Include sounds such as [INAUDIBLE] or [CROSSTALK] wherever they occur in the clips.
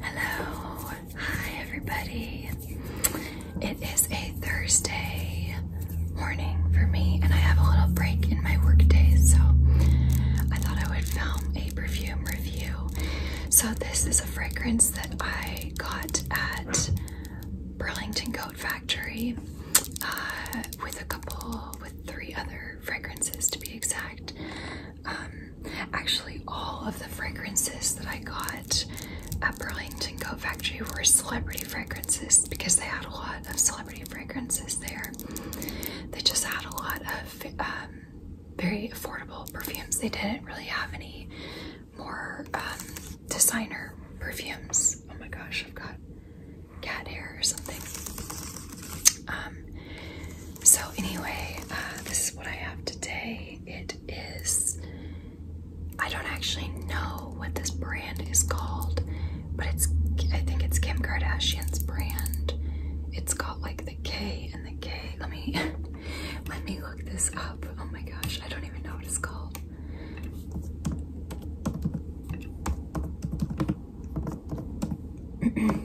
Hello, hi everybody. It is a Thursday morning for me, and I have a little break in my workday, so I thought I would film a perfume review. So, this is a fragrance that I got at Burlington Coat Factory uh, with a couple, with three other fragrances to be exact. Um, Actually, all of the fragrances that I got at Burlington Coat Factory were celebrity fragrances because they had a lot of celebrity fragrances there. They just had a lot of um, very affordable perfumes. They didn't really have any more um, designer perfumes. Oh my gosh, I've got cat hair or something. Um, so anyway, uh, this is what I have today. It is, I don't actually know what this brand is called, but it's, I think it's Kim Kardashian's brand. It's got like the K and the K. Let me, [LAUGHS] let me look this up. Oh my gosh, I don't even know what it's called.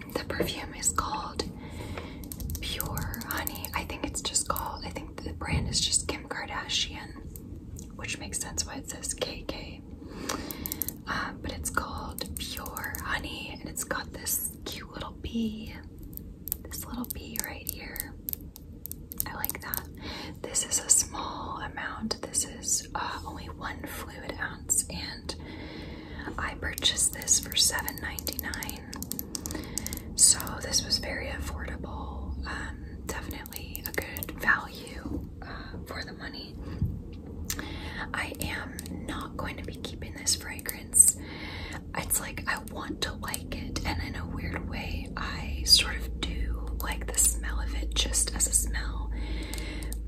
[CLEARS THROAT] the perfume is called Pure Honey. I think it's just called, I think the brand is just Kim Kardashian, which makes sense why it says KK. Uh, but it's called Pure Honey and it's got this cute little bee, this little bee right here. I like that. This is a small amount. This is uh, only one fluid ounce and I purchased this for $7.99. So this was very affordable. Um, definitely a good value uh, for the money. I am not going to be keeping this fragrance. It's like I want to like it, and in a weird way, I sort of do like the smell of it just as a smell.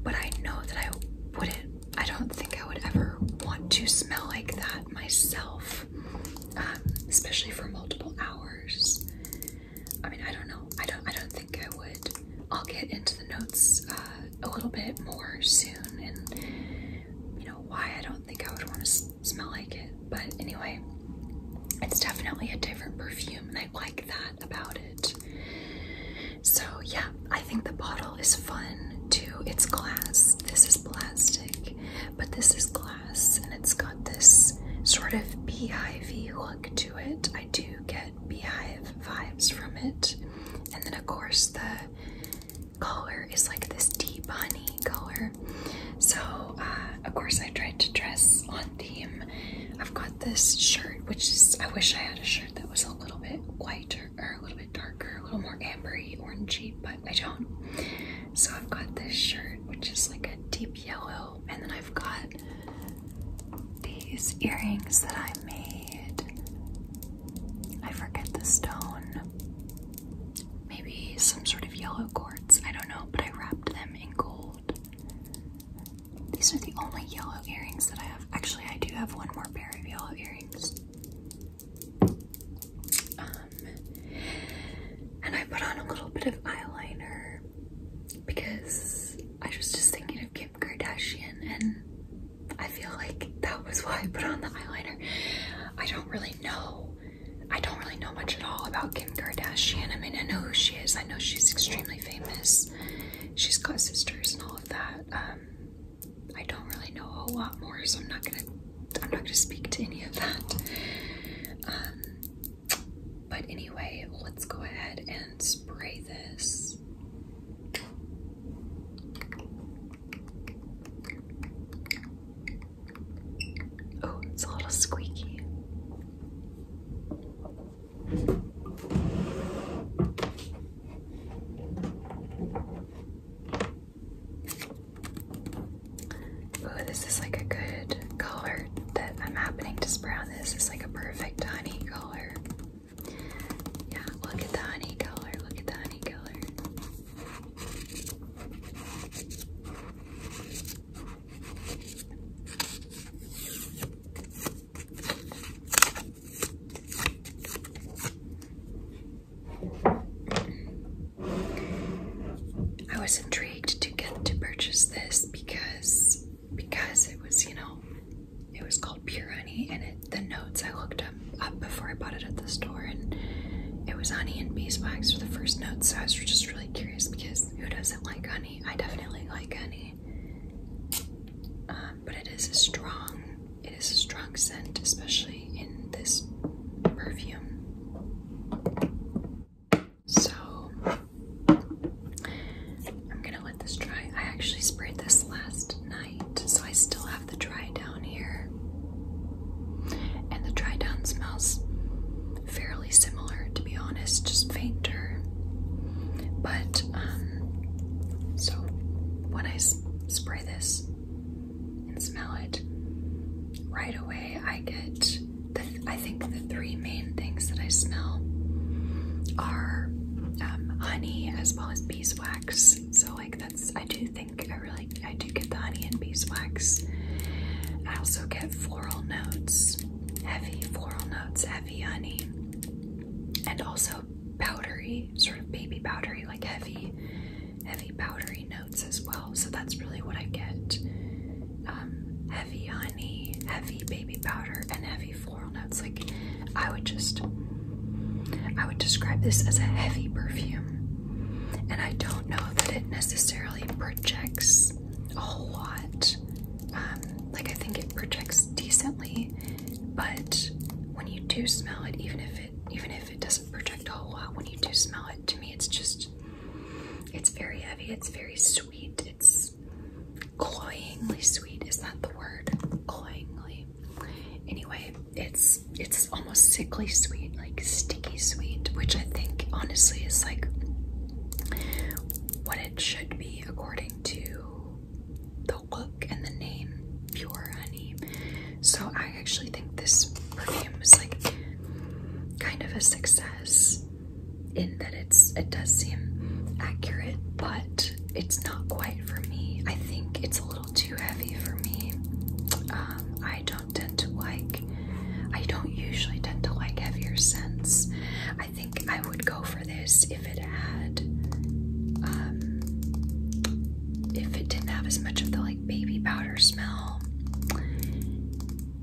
But I know that I wouldn't I don't think I would ever want to smell like that myself, um, especially for multiple hours. I mean, I don't know. I don't. I don't think I would. I'll get into the notes uh, a little bit more soon, and you know why I don't think I would want to smell like it. But anyway, it's definitely a different perfume, and I like that about it. So yeah, I think the bottle is fun too. It's glass. This is plastic, but this is glass and it's got this sort of beehive look to it. I do get beehive vibes from it. And then of course the color is like this deep honey color. So uh, of course I tried to dress on theme. I've got this shirt, which is, I wish I had a shirt that was a little bit whiter or a little bit darker, a little more ambery, orangey, but I don't. So I've got this shirt, which is like a deep yellow, and then I've got these earrings that I made. I forget the stone. Maybe some sort of yellow quartz, I don't know, but I wrapped them in gold. These are the only yellow earrings that I have. Actually, I do have one more pair of yellow earrings. Um, and I put on a little bit of eyeliner because I was just thinking of Kim Kardashian and I feel like that was why I put on the eyeliner. I don't really know. I don't really know much at all about Kim Kardashian. I mean, I know who she is. I know she's extremely famous. She's got sisters and all of that. Um, I don't really know a lot more, so I'm not gonna I'm not gonna speak to any of that. Um, but anyway, let's go ahead and spray this. Oh, it's a little squeaky. Ooh, this is like a good color that I'm happening to spray on this. It's like a perfect honey color. Yeah, look at the honey color. Look at the honey color. I was intrigued to get to purchase this because because it was, you know, it was called pure honey and it the notes I looked up, before I bought it at the store and it was honey and beeswax were the first notes, so I was just really curious because who doesn't like honey? I definitely like honey. Um, but it is a strong it is a strong scent, especially in this perfume. So I'm gonna let this dry. I actually sprayed this last night, so I still have the dry down here. And the dry down smells fairly similar, to be honest, just fainter. But, um, so when I spray this, and smell it right away I get the I think the three main things that I smell are um, honey as well as beeswax so like that's I do think I really I do get the honey and beeswax I also get floral notes heavy floral notes heavy honey and also powdery sort of baby powdery like heavy heavy powdery notes as well. So that's really what I get um, heavy honey, heavy baby powder, and heavy floral notes. Like I would just, I would describe this as a heavy perfume. And I don't know that it necessarily projects a whole lot. Um, like I think it projects decently, but when you do smell it, even if it even if it doesn't does a whole lot when you do smell it. To me, it's just, it's very heavy. It's very sweet. It's cloyingly sweet. Is that the word? Cloyingly. Anyway, it's it's almost sickly sweet, like sticky sweet, which I think honestly is like what it should be according to the look and the name pure honey so I actually think this perfume is like kind of a success in that it's it does seem accurate, but it's not quite for me. I think it's a little too heavy for me. Um, I don't tend to like I don't usually tend to like heavier scents. I think I would go for this if it had um, if it didn't have as much of the like baby powder smell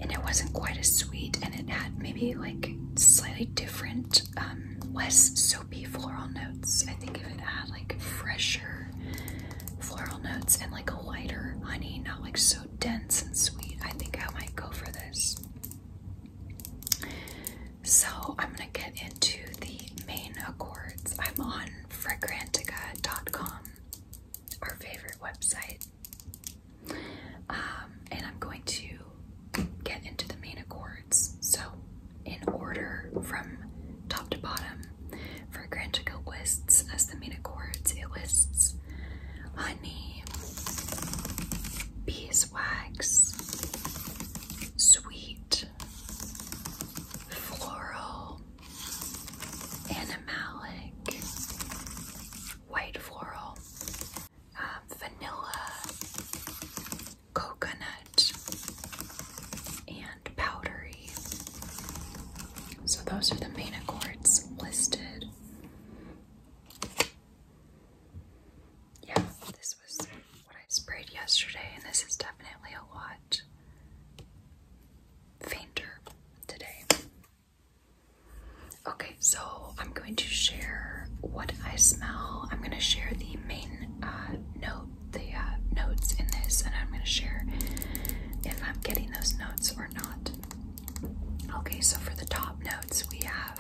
and it wasn't quite as sweet and it had maybe like slightly different um less soapy floral notes i think if it had like fresher floral notes and like a lighter honey not like so dense and sweet i think i might go for this so i'm gonna get into the main accords i'm on fragrantica.com, our favorite website. Um, and I'm going to get into the main accords. So, in order from top to bottom, Fragrantica lists as the main accords, it lists honey, beeswax, sweet, floral, animalic, white floral, um, vanilla, coconut, and powdery. So those are the main accords listed. Yeah, this was what I sprayed yesterday, and this is definitely a lot fainter today. Okay, so I'm going to share what I smell. I'm going to share the main uh, note, the uh, notes in this, and I'm going to share if I'm getting those notes or not. Okay, so for the top notes, we have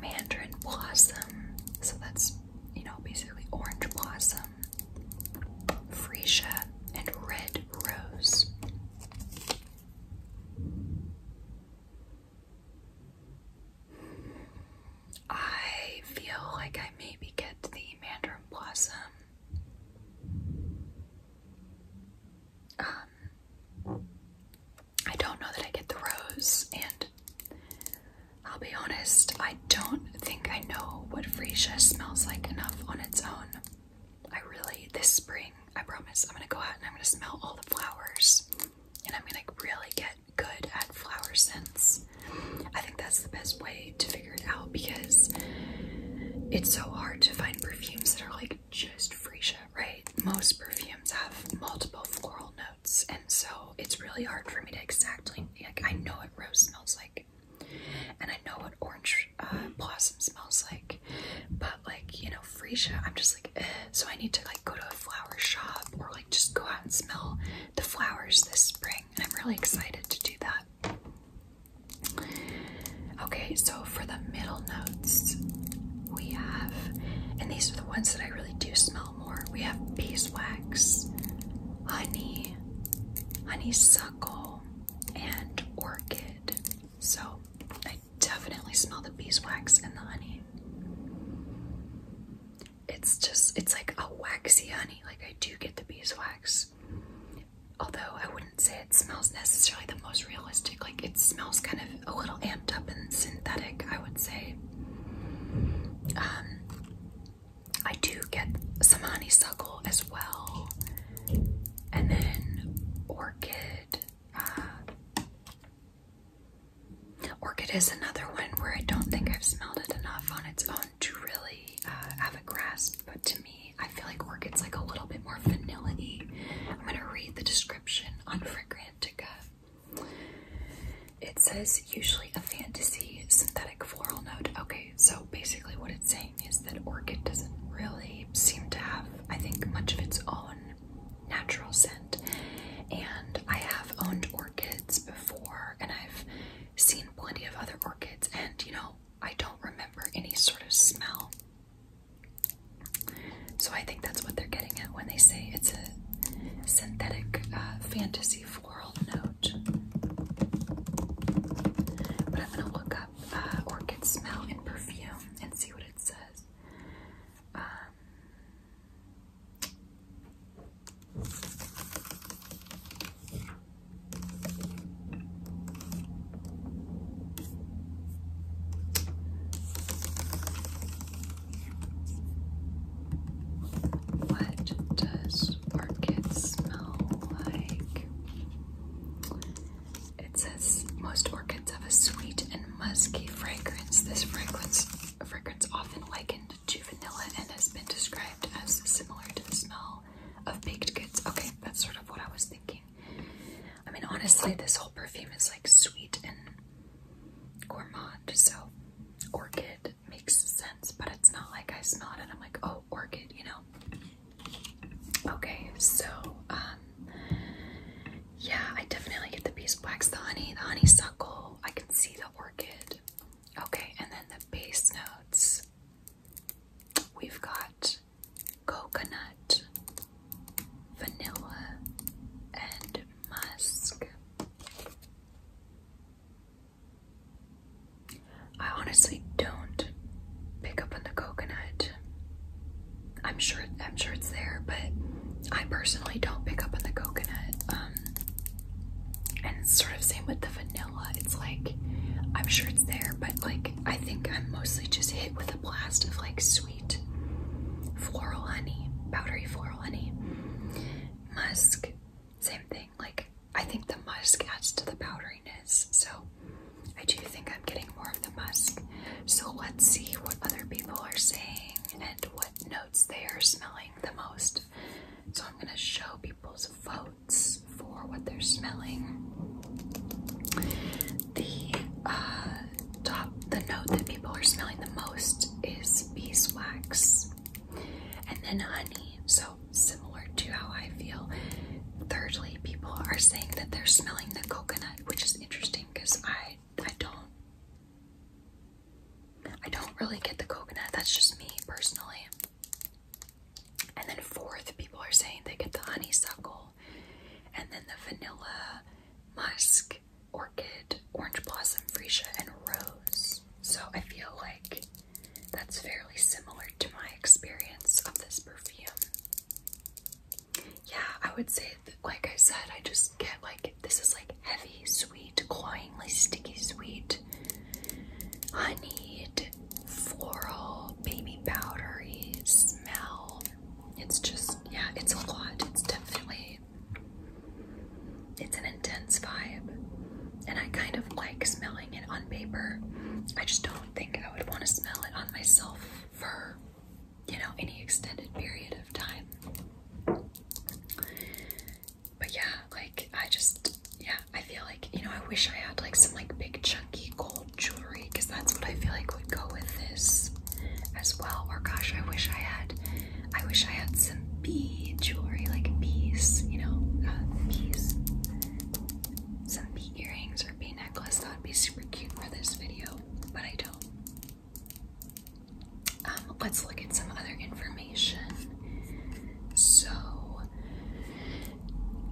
mandarin blossom. So that's you know, basically orange blossom, freesia, and red rose. I feel like I maybe get the mandarin blossom. Um, I don't know that I get the rose, and I'll be honest, I don't think I know what freesia smells like enough on its own. I really, this spring, I promise, I'm gonna go out and I'm gonna smell all the flowers and I'm gonna really get good at flower scents. I think that's the best way to figure it out because it's so hard to find perfumes that are like just freesia, right? Most perfumes have multiple floral notes, and so it's really hard for me to exactly like I know what rose smells like. And I know what orange uh, blossom smells like, but like you know, freesia, I'm just like, eh. so I need to like go to a flower shop or like just go out and smell the flowers this spring. And I'm really excited to do that. Okay, so for the middle notes, we have, and these are the ones that I really do smell more. We have beeswax, honey, honeysuckle, and orchid. So I definitely smell the beeswax and the honey. It's just, it's like a waxy honey. Like I do get the beeswax. Although I wouldn't say it smells necessarily the most realistic. Like it smells kind of a little amped up and synthetic, I would say. Um, I do get some honeysuckle as well, and then orchid. Uh, orchid is another one where I don't think I've smelled it enough on its own to really uh, have a grasp, but to me, I feel like orchid's like a little bit more vanilla -y. I'm gonna read the description on Fragrantica. It says usually a fantasy synthetic floral note. Okay, so basically, what it's saying is that orchid doesn't really seem to have, I think, much of its own natural scent. And I have owned orchids before, and I've seen plenty of other orchids, and you know, I don't remember any sort of smell. So I think that's what they're getting at when they say it's a synthetic uh, fantasy floral note. But I'm gonna look up uh, orchid smell in perfume and see what it says. Um, what does orchids smell like? It says most orchids have a sweet and musky fragrance. This fragrance fragrance often likened to vanilla and has been described as similar to the smell of baked goods. Okay, that's sort of what I was thinking. I mean, honestly, this whole perfume is like sweet and gourmand, so orchid makes sense, but it's not like I smell it and I'm like, oh, orchid, you know. Okay, so um yeah, I definitely get the beeswax, the honey, the honeysuckle. I can see the orchid. Okay, and then the base notes. We've got coconut, vanilla, and musk. I honestly don't pick up on the coconut. I'm sure I'm sure it's there, but I personally don't pick up on the coconut. Um, and sort of same with the vanilla. It's like I'm sure it's there, but like I think I'm mostly just hit with a blast of like sweet floral honey, powdery floral honey. Musk, same thing. Like, I think the musk adds to the powderiness. So, I do think I'm getting more of the musk. So, let's see what other people are saying and what notes they are smelling the most. So, I'm going to show people's votes for what they're smelling. The uh, top, the note that people are smelling the most is beeswax and then honey. So, similar to how I feel. Thirdly, people are saying that they're smelling the coconut, which is interesting because I I don't I don't really get the coconut. That's just me personally. And then fourth, people are saying they get the honeysuckle and then the vanilla, musk, orchid, orange blossom, freesia, and rose. So I feel like that's fairly similar to my experience of this perfume. Yeah, I would say that, like I said, I just get like this is like heavy, sweet, cloyingly sticky, sweet, honeyed, floral, baby powdery smell. It's just, yeah, it's a lot. It's definitely, it's an intense vibe. And I kind of like smelling it on paper. I just don't think I would want to smell it on myself for, you know, any extended period of time. But yeah, like I just, yeah, I feel like, you know, I wish I had like some like big chunky gold jewelry because that's what I feel like would go with this as well. Or gosh, I wish I had, I wish I had some bee jewelry, like bees, you know, uh, some earrings or a necklace. That would be super cute for this video, but I don't. Um, let's look at some other information. So,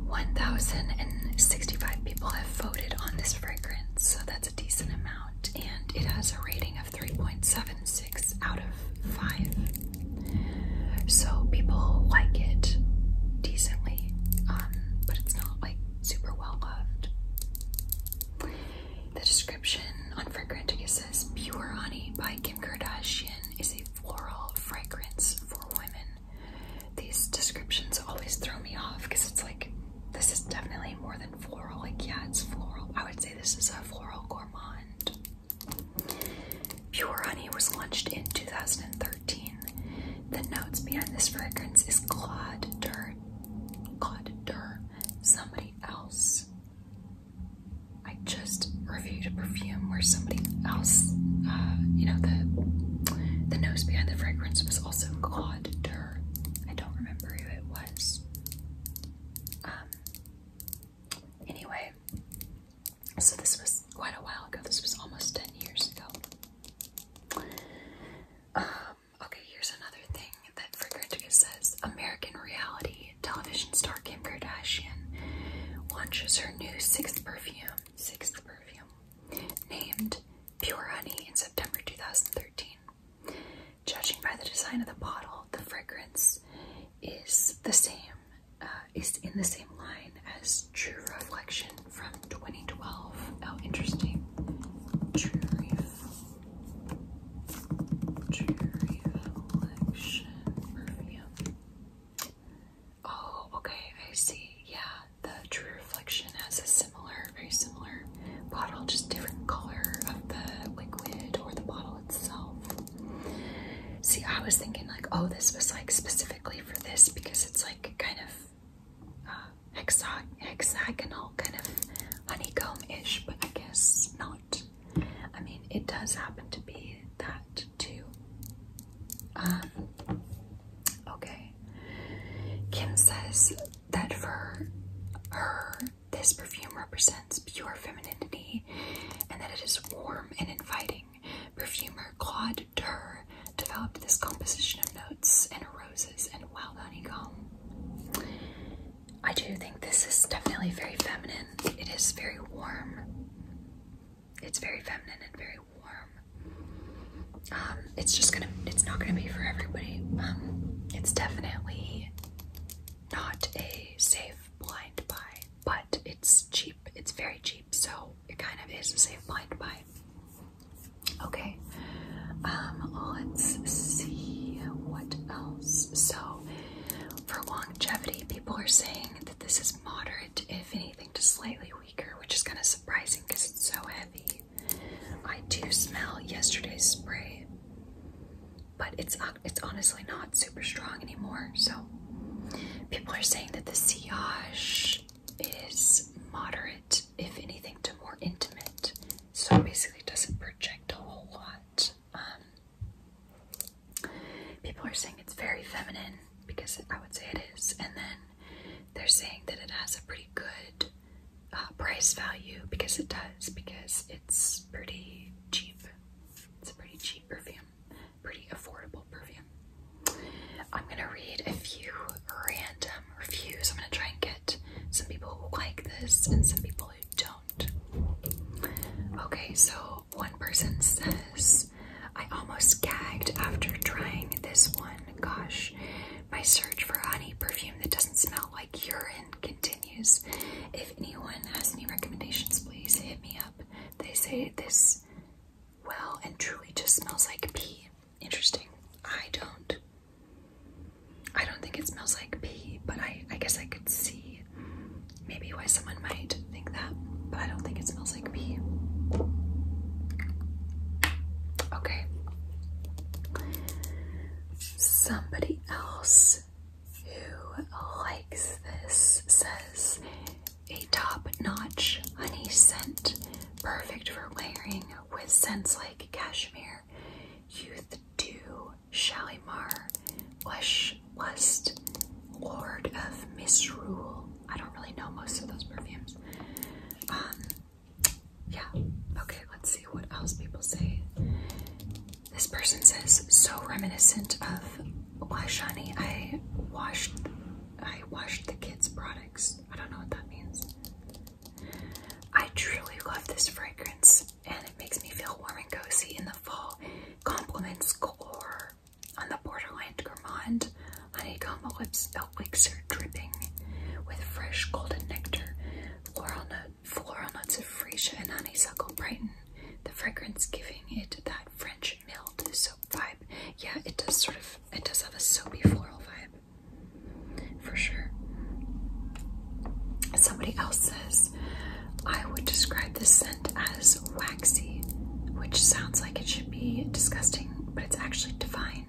1,065 people have voted on this fragrance, so that's a decent amount, and it has a rating of 3.76 out of 5. So people like it decently, um, but it's not like super well loved. The description on Fragrantica says Pure Honey by Kim Kardashian is a floral fragrance for women. These descriptions always throw me off because it's like this is definitely more than floral. Like, yeah, it's floral. I would say this is a floral gourmand. Pure Honey was launched in 2013. The notes behind this fragrance is Claude Dur, Claude Dur, somebody else. I just reviewed a perfume where somebody else, uh, you know, the the nose behind the fragrance was also Claude Dur. I don't remember who it was. Um. Anyway, so this was quite a while ago. This was almost 10 years ago. Um, okay, here's another thing that Frigurtic says. American reality television star Kim Kardashian launches her new sixth perfume, sixth perfume, named Pure Honey in September 2013. Judging by the design of the bottle, the fragrance is the same uh, it's in the same line as True Reflection from 2012. Oh, interesting. True True Reflection perfume. Oh, okay, I see. Yeah, the True Reflection has a similar, very similar bottle, just different color of the liquid or the bottle itself. See, I was thinking like, oh, this was like specifically for this because it's like kind of uh, hexagonal, kind of honeycomb-ish, but I guess not. I mean, it does happen to be that too. Um, okay. Kim says that for her, this perfume represents pure femininity and that it is warm and inviting. Perfumer Claude Durr developed this composition of notes and roses and wild honeycomb. I do think this is definitely very feminine. It is very warm. It's very feminine and very warm. Um, it's just gonna, it's not gonna be for everybody. Um, it's definitely not a safe blind buy, but it's cheap. It's very cheap, so it kind of is a safe blind buy. Okay, um, let's see what else. So, for longevity, people are saying that this is moderate, if anything, to slightly weaker, which is kind of surprising because it's so heavy. I do smell yesterday's spray, but it's uh, it's honestly not super strong anymore. So People are saying that the sillage is moderate, if anything, to more intimate. So it basically doesn't project a whole lot. Um, people are saying it's very feminine, because I would say it is. And then they're saying that it has a pretty good uh, price value, because it does, because it's pretty cheap. It's a pretty cheap perfume pretty affordable perfume. I'm gonna read a few random reviews. I'm gonna try and get some people who like this and some people who don't. Okay, so one person says, I almost gagged after trying this one. Gosh, my search for a honey perfume that doesn't smell like urine continues. If anyone has any recommendations, please hit me up. They say this well and truly just smells like pee. Interesting. I don't. I don't think it smells like pee, but I, I guess I could see maybe why someone might think that, but I don't think it smells like pee. Okay. Somebody else who likes this says a top-notch honey scent, perfect for layering with scents like cashmere, youth dew, Shalimar, Lush Lust, Lord of Misrule. I don't really know most of those perfumes. Um, yeah. Okay, let's see what else people say. This person says, so reminiscent of Lush I washed I washed the kids' products. I don't know what that means. I truly love this fragrance and it makes me feel warm and cozy in the fall. Compliments core on the borderline gourmand honeycomb lips are dripping with fresh golden nectar. Floral, note, floral notes of freesia and honeysuckle brighten the fragrance, giving it that French mild vibe. Yeah, it does sort of, it does have a soapy floral vibe, for sure. Somebody else says, I would describe this scent as waxy, which sounds like it should be disgusting, but it's actually divine.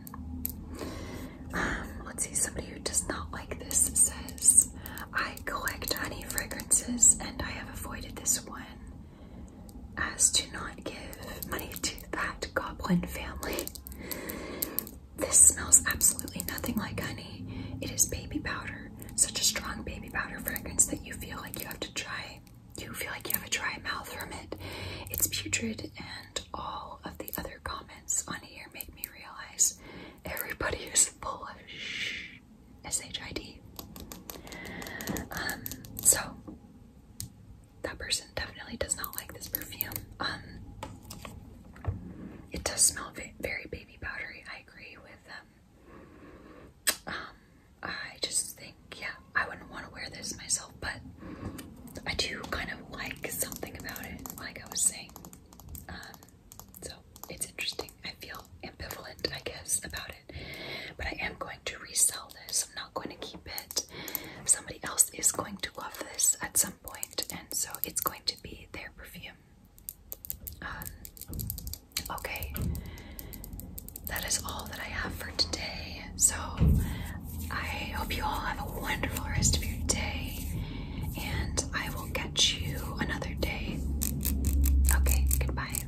Um, let's see, somebody who does not like this says, I collect honey fragrances and I have avoided this one as to not give money to that goblin family. This smells absolutely nothing like honey. It is baby powder, such a strong baby powder fragrance that you feel like you have to try. You feel like you have a dry mouth from it. It's putrid, and all of the other comments on here make me realize everybody is full of shh, S H I D. Um, so that person definitely does not like this perfume. Um, it does smell very baby powdery. I agree with them. Um, I just think, yeah, I wouldn't want to wear this myself, but I do kind of like something about it, like I was saying. Um, so it's interesting. I feel ambivalent, I guess, about it. But I am going to resell this. I'm not going to keep it. Somebody else is going to love this at some point, and so it's going to be their perfume. Um, okay, that is all that I have for today. So I hope you all have a wonderful rest of your day, and I will catch you another day. Okay, goodbye.